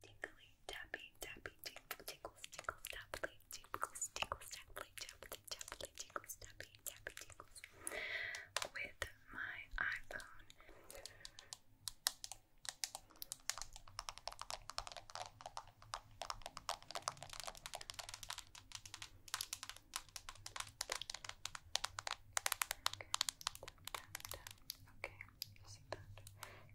Tingly, tappy, tappy, tingle, tingles, tingles, tappily, tingles, tingles, tappily, tappily, tappily, tingles, tappy, tappy, tingles. With my iPhone. Okay, you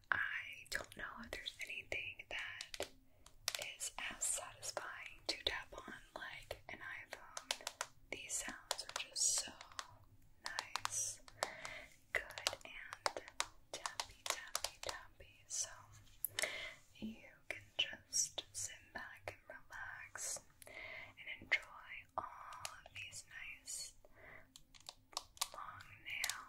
I don't know if there's anything that is as satisfying to tap on like an iPhone. These sounds are just so nice, good, and tappy, tappy, tappy. So you can just sit back and relax and enjoy all of these nice long nail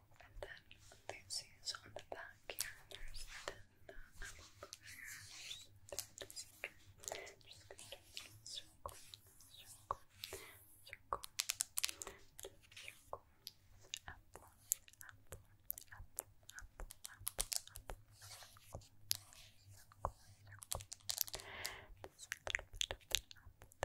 And then this is on the back here. There's then the apple burgers. Just going to circle, circle, circle, circle. Apple, apple, apple, apple, apple, apple. Circle, circle, circle. There's apple there,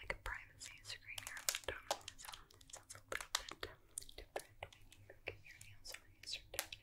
like a privacy screen here on the a little bit different when you get your hands on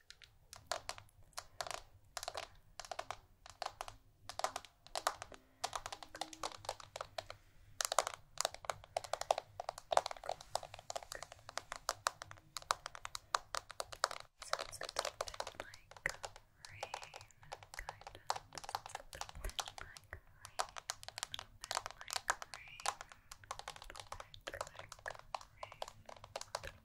Sounds a little bit like rain, kind of. Sounds a little bit like rain, a little bit like rain, a little bit like rain, a little bit like rain.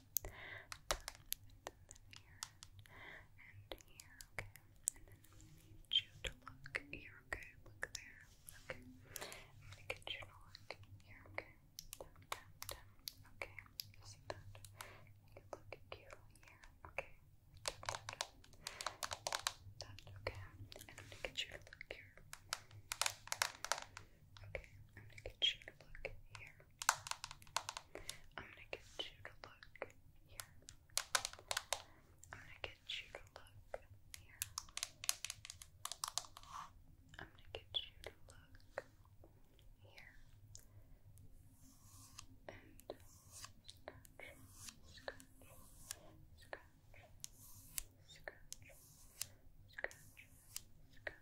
and here, okay. And then I need you to look here, okay. Look there, okay. I'm gonna get you to look here, okay. Okay, you see that? You can look here, okay. okay. And I'm gonna get you to look here. Okay, I'm gonna get you to look here. I'm gonna get you to look here. I'm gonna get you to look here. I'm gonna get you to look here. And scratch, scratch, scratch, scratch, scratch, scratch.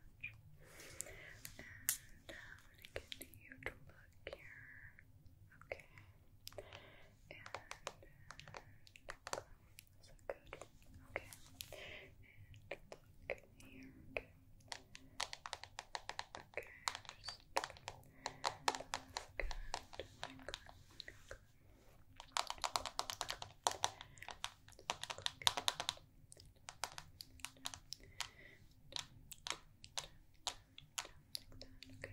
And I'm gonna get you to look here. Okay. And uh, so good. Okay. And look here. Okay. Okay, just look good. Like Okay. That's good. Good, good, good, good.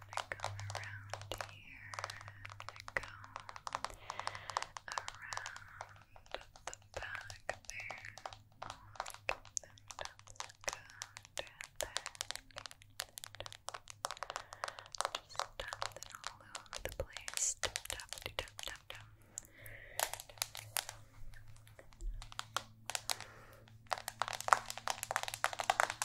gonna go around here. i go around the back there. Just tap them all over the place. tap, tap, tap. Tap,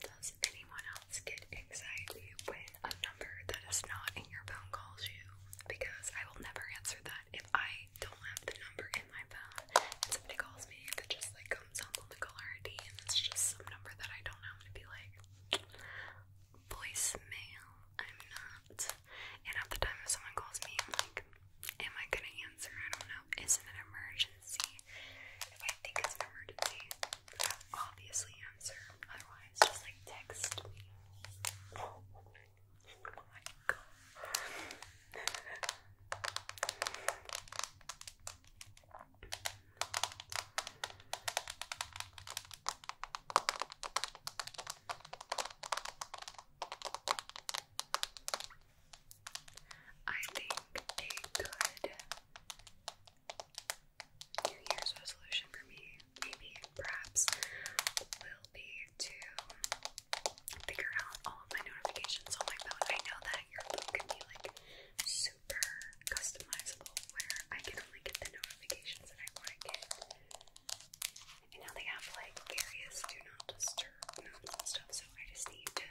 Does anyone else get anxiety when a number that is not in your phone calls you? Because I will never answer that if I I don't have the number in my phone and somebody calls me that just like comes up on the caller ID and it's just some number that I don't know, I'm gonna be like, voicemail, I'm not. And at the time if someone calls me, I'm like, am I gonna answer? I don't know. Is it an emergency? If I think it's an emergency, I'll obviously answer. Otherwise, just like text me my god. I think a good New Year's resolution for me, maybe perhaps, will be to figure out all of my notifications on my phone. I know that your phone can be like super customizable where I can only get the notifications that I want to get. And now they have like various do not disturb modes and stuff, so I just need to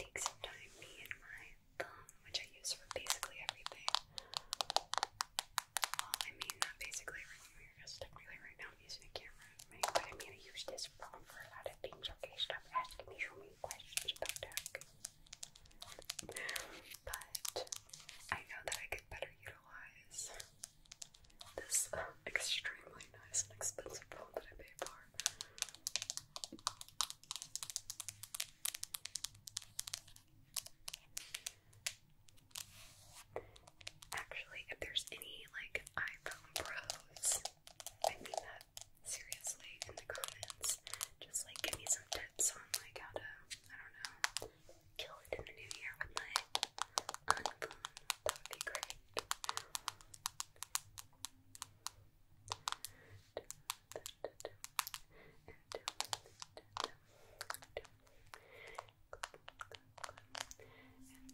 take some time, me and my thumb, which I use for basically everything. I mean, not basically everything, because technically right now i using a camera. Right, but I'm gonna use this phone for a lot of things. Okay, stop asking me so many questions about that. Okay? But I know that I could better utilize this um, extremely nice and expensive phone that I paid for. Actually, if there's any like iPhone Pros I mean that seriously in the comments. Just like give me some tips on like how to, I don't know, kill it in the new year with my iPhone. That would be great.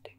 And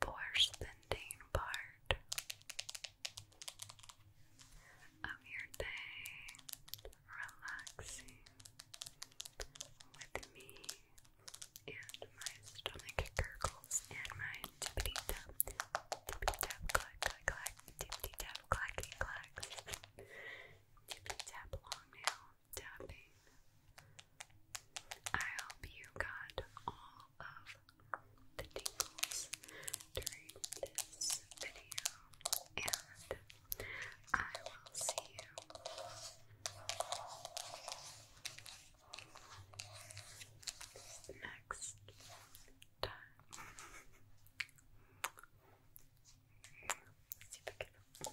Borstendine part of your day, relaxing with me and my stomach gurgles and my tippity tap, tippity tap, clack, clack, clack, tippity tap, clacky, clack, tippity tap, long nail tapping. I hope you got all of the tingles during this video, and I will see you next time. See if I